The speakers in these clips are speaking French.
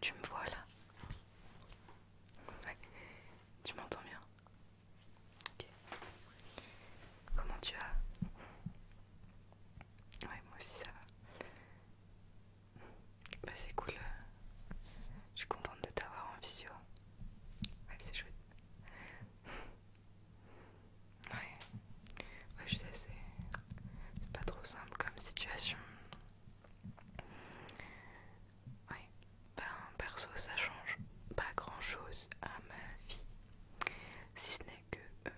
Tu me vois là Tu m'entends bien Ok Comment tu as Ouais, moi aussi ça va. Bah c'est cool. Euh. Je suis contente de t'avoir en visio. Ouais, c'est chouette. Ouais ouais, je sais, c'est pas trop simple comme situation. Ouais, ben perso, ça change pas grand chose à ma vie, si ce n'est que euh,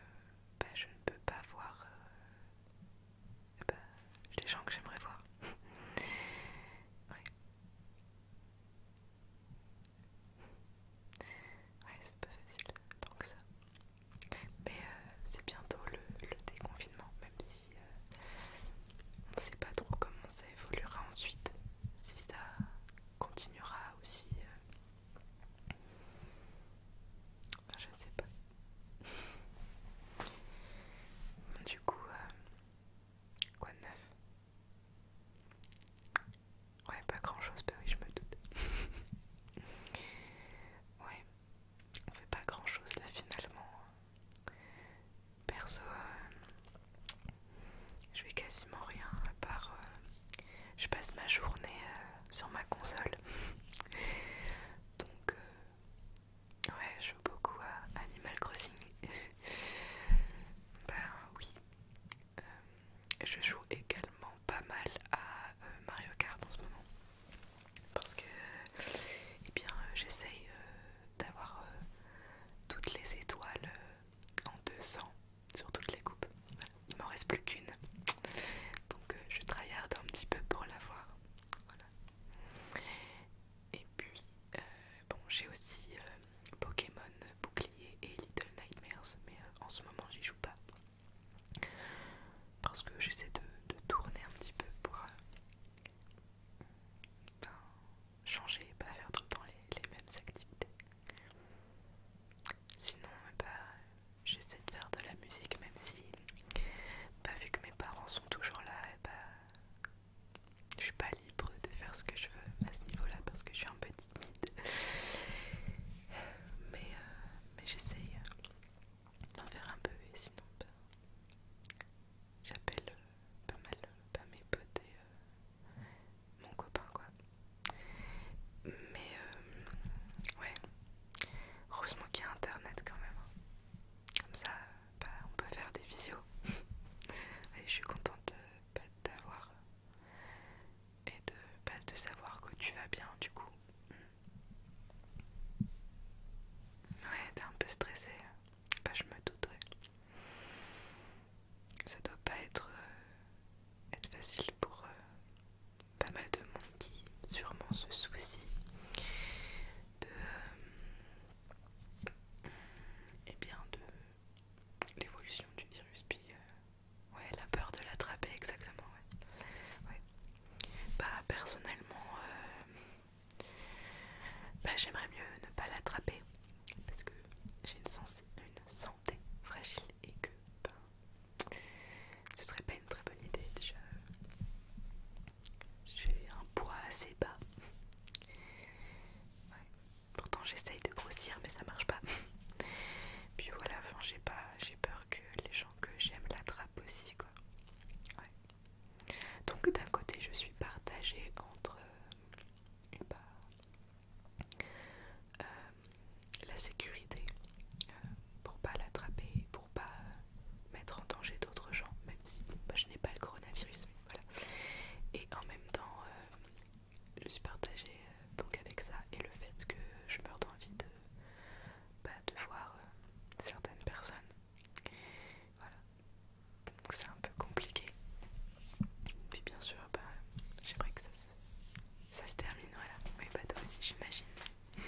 ben, je ne peux pas voir des euh, eh ben, les gens que j'aimerais voir. ouais. Ouais, c'est pas facile, tant que ça. Mais euh, c'est bientôt le, déconfinement, même si euh, on ne sait pas trop comment ça évoluera ensuite, si ça continuera aussi. Euh. je ne sais pas. Du coup, quoi de neuf Ouais, pas grand chose, mais bah oui, je me doute. ouais, on fait pas grand chose là finalement. Perso, euh, je fais quasiment rien à part euh, je passe ma journée euh, sur ma console. Donc, ouais, je joue beaucoup à Animal Crossing. ben oui. je joue également pas mal à euh, Mario Kart en ce moment parce que euh, eh bien euh, j'essaye d'avoir toutes les étoiles en 200 sur toutes les coupes. Il m'en reste plus qu'une. Donc je tryharde un petit peu pour l'avoir. Voilà. Et puis bon j'ai aussi Pokémon Bouclier et Little Nightmares mais en ce moment j'y joue pas. Parce que j'essaie de, tourner un petit peu pour euh, changer et pas faire tout le temps les, mêmes activités. Sinon, eh ben, j'essaie de faire de la musique, même si, bah, vu que mes parents sont toujours là, bah, je suis pas libre de faire ce que je veux à ce niveau-là parce que je suis un peu timide. Mais, euh, j'essaie mais j'essaye d'en faire un peu et sinon ben, j'appelle euh, pas mal euh, pas mes potes et euh, mon copain quoi mais ouais heureusement qu'il y a internet quand même hein. comme ça bah, on peut faire des visios et je suis contente de bah, d'avoir et de, bah, de savoir que tu vas bien du coup Ouais, t'es un peu stressée. Bah, je me doute, Ça doit pas être, euh, être facile pour euh, pas mal de monde qui sûrement se soucie de... et euh, eh bien de l'évolution du virus, puis ouais, la peur de l'attraper, exactement, ouais. Bah personnellement, euh, bah, j'aimerais mieux ne pas l'attraper parce que j'ai une, santé fragile et que ce ben, ce serait pas une très bonne idée déjà. J'ai un poids assez bas. Pourtant j'essaye de grossir mais ça marche pas. Puis voilà, j'ai j'ai peur que les gens que j'aime l'attrapent aussi quoi. Donc d'un côté je suis partagée entre euh, euh, la sécurité euh, pour pas l'attraper, pour pas mettre en danger d'autres gens, même si bah, je n'ai pas le coronavirus, Et en même temps, je suis partagée donc avec ça et le fait que je meurs d'envie de bah, de voir euh, certaines personnes. Voilà. Donc c'est un peu compliqué. Puis bien sûr, bah, j'aimerais que ça se, ça se termine, voilà. Oui, bah toi aussi, j'imagine. Mais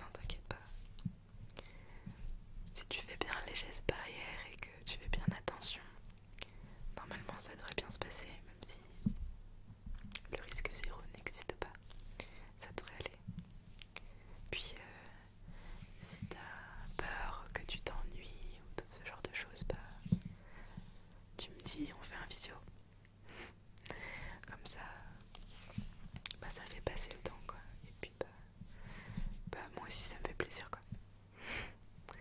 non, t'inquiète pas. Si tu fais bien les gestes barrières et que tu fais bien attention, normalement ça devrait bien se passer, même si le risque zéro n'existe pas, ça devrait aller. Puis euh, si t'as peur que tu t'ennuies ou tout ce genre de choses, bah, tu me dis on fait un visio. Comme ça, bah, ça fait passer le temps quoi. Et puis bah, bah moi aussi ça me fait plaisir quoi.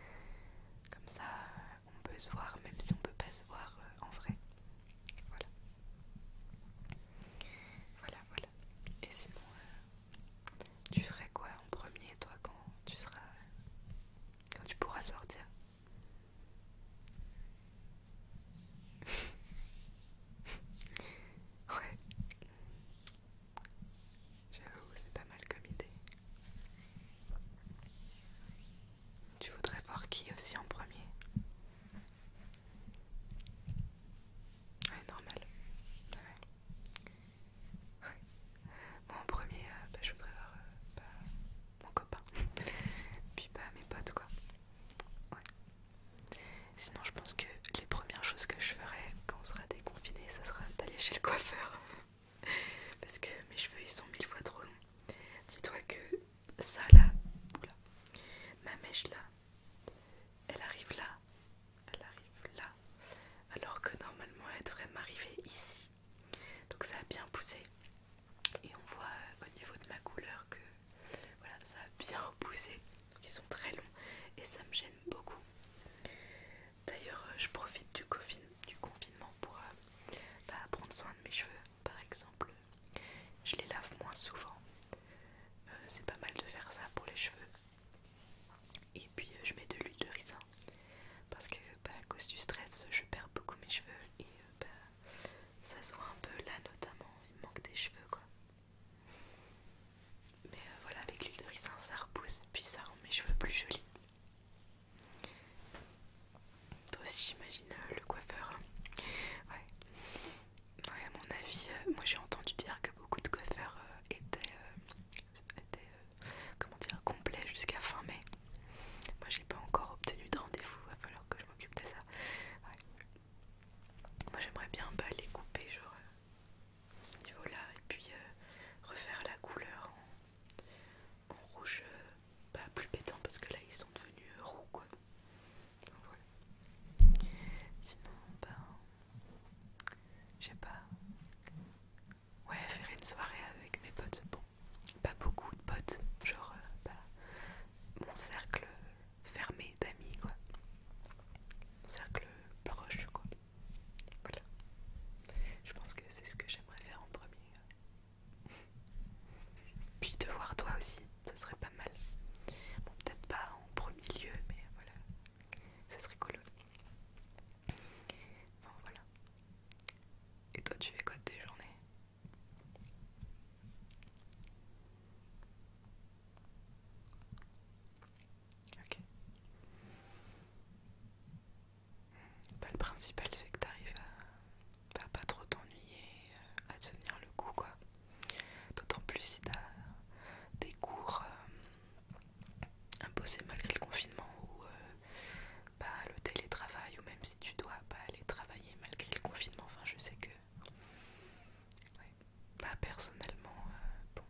Comme ça, on peut se voir même si on peut pas se voir euh, en vrai. Voilà. Voilà, voilà. Et sinon, euh, tu ferais quoi en premier, toi, quand tu seras, quand tu pourras sortir Ouais. J'avoue, c'est pas mal comme idée. Tu voudrais voir qui aussi en premier Ouais, normal. Moi en premier, euh, bah, je voudrais voir euh, bah, mon copain. Puis bah, mes potes, quoi. Sinon, je pense que les premières choses que je ferais quand on sera déconfiné, ça sera d'aller chez le coiffeur. Parce que mes cheveux, ils sont mille fois trop longs. Dis-toi que ça là, ma mèche là, elle arrive là, elle arrive là, alors que normalement elle devrait m'arriver ici. Donc ça a bien poussé et on voit euh, au niveau de ma couleur que ça a bien poussé. ils sont très longs et ça me gêne beaucoup. D'ailleurs, euh, je profite du, confinement pour euh, bah, prendre soin de mes cheveux par exemple, je les lave moins souvent. Euh, c'est pas mal de faire ça pour les cheveux. Et puis euh, je mets de l'huile de ricin parce que bah, à cause du stress, je perds beaucoup mes cheveux et euh, bah, ça se voit un peu là notamment, il manque des cheveux quoi. Mais voilà, avec l'huile de ricin, ça repousse puis ça rend mes cheveux plus jolis. Toi aussi j'imagine euh, le coiffeur. Hein. Ouais. à mon avis, euh, moi j'ai entendu dire que beaucoup de coiffeurs euh, étaient, comment dire, complets jusqu'à fin mai. Moi j'ai pas encore obtenu de rendez-vous, va falloir que je m'occupe de ça. Moi j'aimerais bien pas bah, les couper genre à ce niveau-là et puis refaire la couleur en, rouge bah, plus pétant parce que là ils sont devenus euh, roux quoi. Donc, voilà. Sinon, ben, j'ai pas. Ouais, faire une soirée avec mes potes, bon, pas beaucoup de potes, genre euh, bah, mon cercle fermé d'amis quoi. Mon cercle proche quoi. Voilà. Je pense que c'est ce que j'aimerais faire en premier. Puis de voir toi aussi, ça serait pas mal. Bon, peut-être pas en premier lieu, mais voilà, ça serait cool. Bon, voilà. Et toi, tu fais quoi de tes journées Ok. Pas le principal, c'est que t'arrives à pas trop t'ennuyer euh, à tenir le coup quoi. D'autant plus si t'as des cours euh, imposés malgré le confinement ou pas euh, bah, le télétravail ou même si tu dois pas aller travailler malgré le confinement. Enfin je sais que ouais. bah, personnellement bon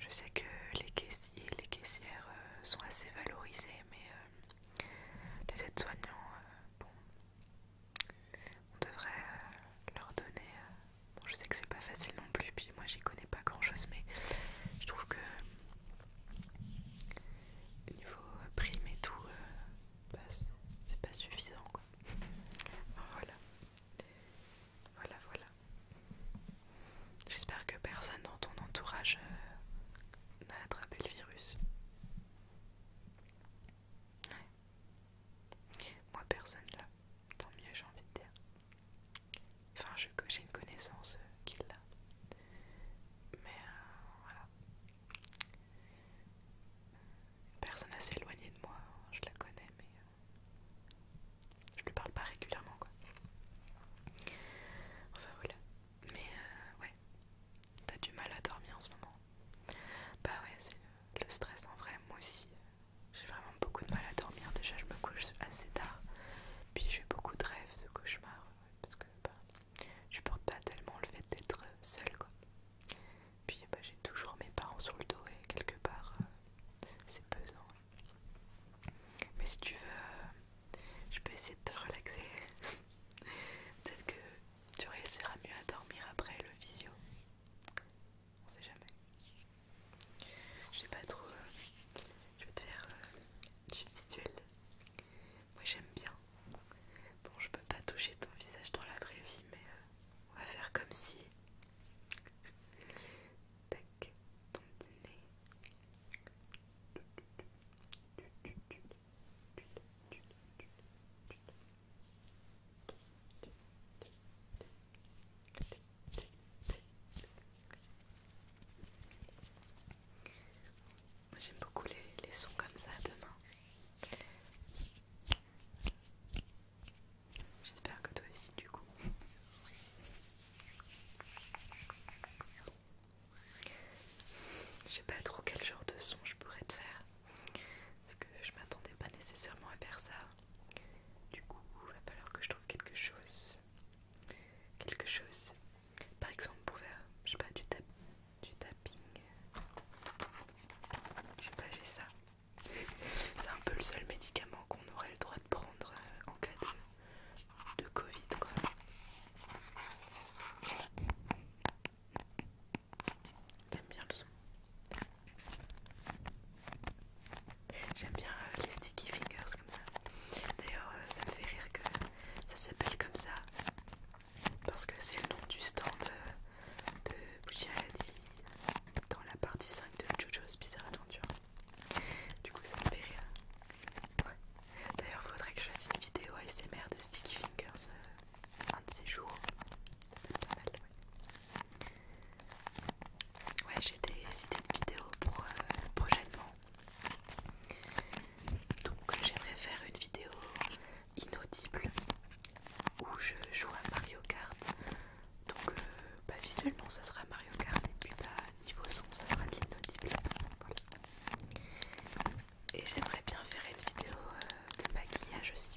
je sais que les caissiers les caissières sont assez valorisés mais les aides-soignants bon, on devrait euh, leur donner. Euh, bon, je sais que c'est pas facile non plus, puis moi j'y connais pas grand chose, mais je trouve que niveau euh, prime et tout, bah, c'est pas suffisant quoi. Voilà, voilà, voilà. J'espère que personne dans ton entourage n'a attrapé le virus. Moi, personne là. Tant mieux, j'ai envie de dire. Enfin, j'ai une connaissance euh, qu'il a l'a. Mais euh, voilà. Personne assez s'éloigné de moi. Je la connais, mais euh, je lui parle pas régulièrement, quoi. Enfin voilà. Mais euh, ouais, t'as du mal à dormir en ce moment. Bah ouais, c'est le, stress en vrai. Moi aussi, euh, j'ai vraiment beaucoup de mal à dormir. Déjà, je me couche assez tard. Puis j'ai beaucoup de rêves, de cauchemars. Euh, parce que je bah, je porte pas tellement le fait d'être seule quoi. Puis bah, j'ai toujours mes parents sur le dos et quelque part, c'est pesant. Mais si tu veux, je peux essayer de te relaxer. Peut-être que tu réussiras mieux à dormir après le visio. On sait jamais. Je pas trop. Euh, je vais te faire euh, du visuel. Moi j'aime bien. Bon, je peux pas toucher ton visage dans la vraie vie, mais euh, on va faire comme si. Tac, ton dîner j'aime beaucoup les, les sons comme ça demain. J'espère que toi aussi du coup. Je sais pas trop quel genre de son je pourrais te faire parce que je m'attendais pas nécessairement à faire ça. Du coup, il va falloir que je trouve quelque chose. Quelque chose. Par exemple, pour faire, je sais pas, du, tap du tapping. Je sais pas, j'ai ça. C'est un peu le seul médicament qu'on aurait le droit de prendre euh, en cas de, de Covid, quoi. J'aime bien le son J'aime bien euh, les sticky fingers comme ça. D'ailleurs, euh, ça me fait rire que ça s'appelle comme ça parce que c'est le nom du stand euh, de, Bougie dans la partie 5 de Jojo's Bizarre Adventure. Du coup, ça me fait rire. Ouais. D'ailleurs, faudrait que je fasse une vidéo ASMR de sticky fingers un de ces jours. ouais, j'ai des idées de vidéos pour euh, prochainement. Donc j'aimerais faire une vidéo inaudible où je joue à Mario Kart. Donc euh, bah, visuellement ça sera Mario Kart et puis bah, niveau son ça sera de l'inaudible. Et j'aimerais bien faire une vidéo euh, de maquillage aussi.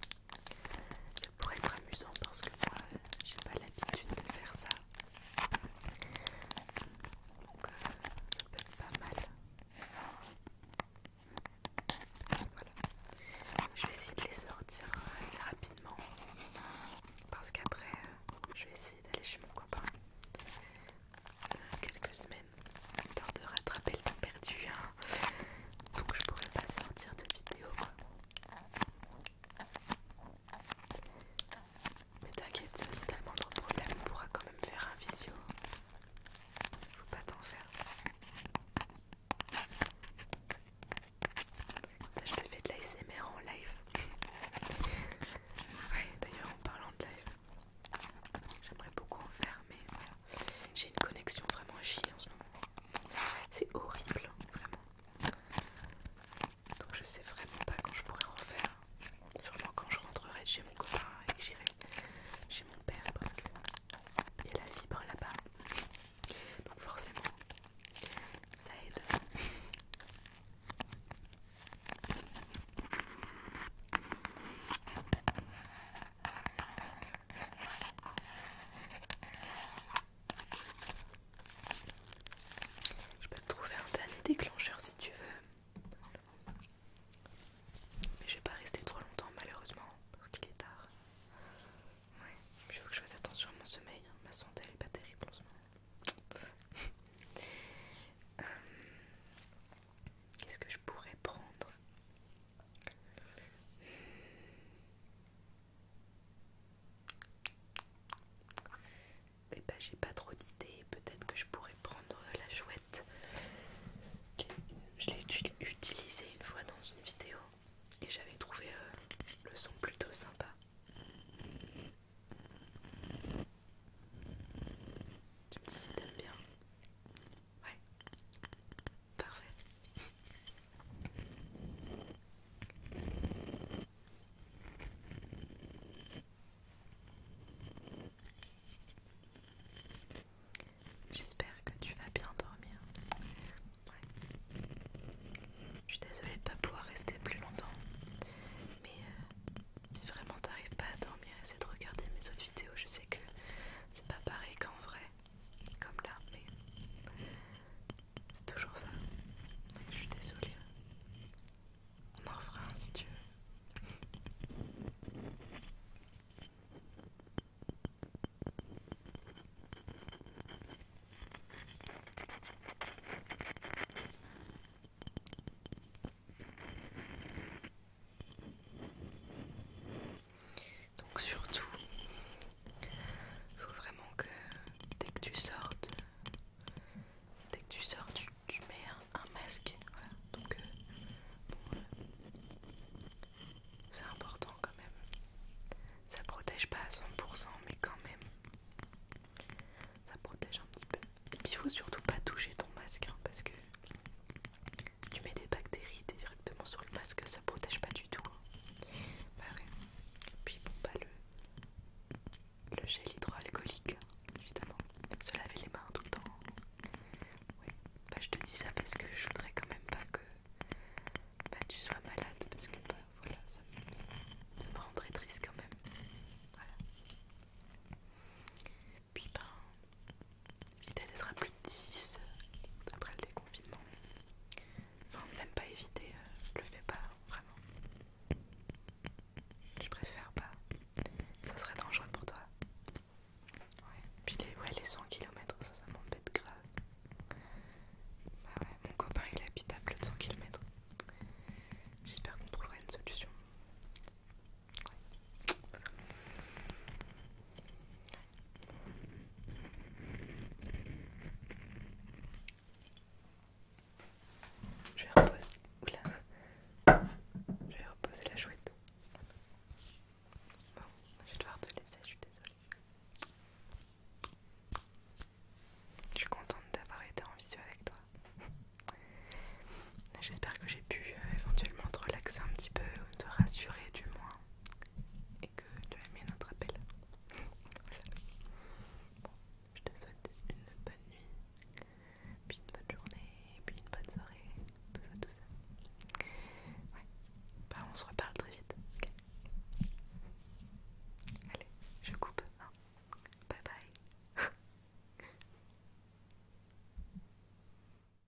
pour pourrait être amusant parce que moi euh, j'ai pas l'habitude de faire ça. Donc euh, ça peut être pas mal. Voilà. Je vais essayer de les sortir assez rapidement parce qu'après je vais essayer d'aller chez mon copain quelques semaines, histoire de rattraper le temps perdu. Hein. Donc je pourrais pas sortir de vidéo. Mais t'inquiète, ça c'est tellement de problème, on pourra quand même faire un visio. Faut pas t'en faire. Comme ça je peux faire de l'ASMR en live. ouais, d'ailleurs en parlant de live, J'aimerais beaucoup en faire, mais voilà. J'ai une connexion vraiment à chier en ce moment. C'est horrible, hein, vraiment. Donc je sais vraiment pas quand je pourrais en faire. Sûrement quand je rentrerai chez mon copain et j'irai chez mon père parce que il y a la fibre là-bas. Donc forcément, ça aide. Je peux te trouver un dernier déclencheur si tu veux. Mais je vais pas rester trop longtemps malheureusement parce qu'il est tard. Ouais, il faut que je fasse attention à mon sommeil. Hein. Ma santé elle est pas terrible en euh, Qu'est-ce que je pourrais prendre mais eh bah, ben, j'ai pas trop d'idées. Peut-être que je pourrais prendre la chouette. Je l'ai utilisée une fois dans une vidéo et j'avais trouvé euh, le son plutôt sympa. Tu me dis si t'aimes bien. Ouais. Parfait. J'espère que tu vas bien dormir. Je suis désolée de pas pouvoir rester plus longtemps. Mais euh, si vraiment t'arrives pas à dormir, essaie de regarder mes autres vidéos. Je c'est que c'est pas pareil qu'en vrai, comme là, mais c'est toujours ça. je suis désolée. On en refera un si tu veux. Donc surtout, faut vraiment que dès que tu sortes, dès que tu sors, tu, mets un, masque. Voilà. Donc euh, euh, c'est important quand même. Ça protège pas à 100%, mais quand même, ça protège un petit peu. Et puis il faut surtout pas toucher ton masque hein, parce que si tu mets des bactéries directement sur le masque, ça protège pas du tout. Et hein. bah Puis bon, pas bah, le, le gel hydroalcoolique, évidemment. Se laver les mains tout le temps. Bah je te dis ça parce que je voudrais quand même pas que bah, tu sois malade parce que bah, voilà, ça, me rendrait triste quand même. Voilà. Puis ben, éviter d'être à plus de 10 euh, après le déconfinement. Enfin, même pas éviter, je euh, le fais pas vraiment. Je préfère pas. Ça serait dangereux pour toi. Ouais, puis les, ouais, les 100 km, ça, ça m'embête grave. Bah ouais, mon copain il habite à de 100 km. J'espère qu'on trouvera une solution. Je vais reposer. Je vais reposer la chouette. Bon, je vais devoir te laisser, je suis désolée. Je suis contente d'avoir été en visio avec toi. J'espère que j'ai pu euh, éventuellement te relaxer un petit peu, te rassurer du moins et que tu as aimé notre appel. voilà. je te souhaite une bonne nuit, puis une bonne journée, puis une bonne soirée, tout ça, tout ça. Ouais, bah, on se reparle très vite. Allez, je coupe. Hein. Bye bye.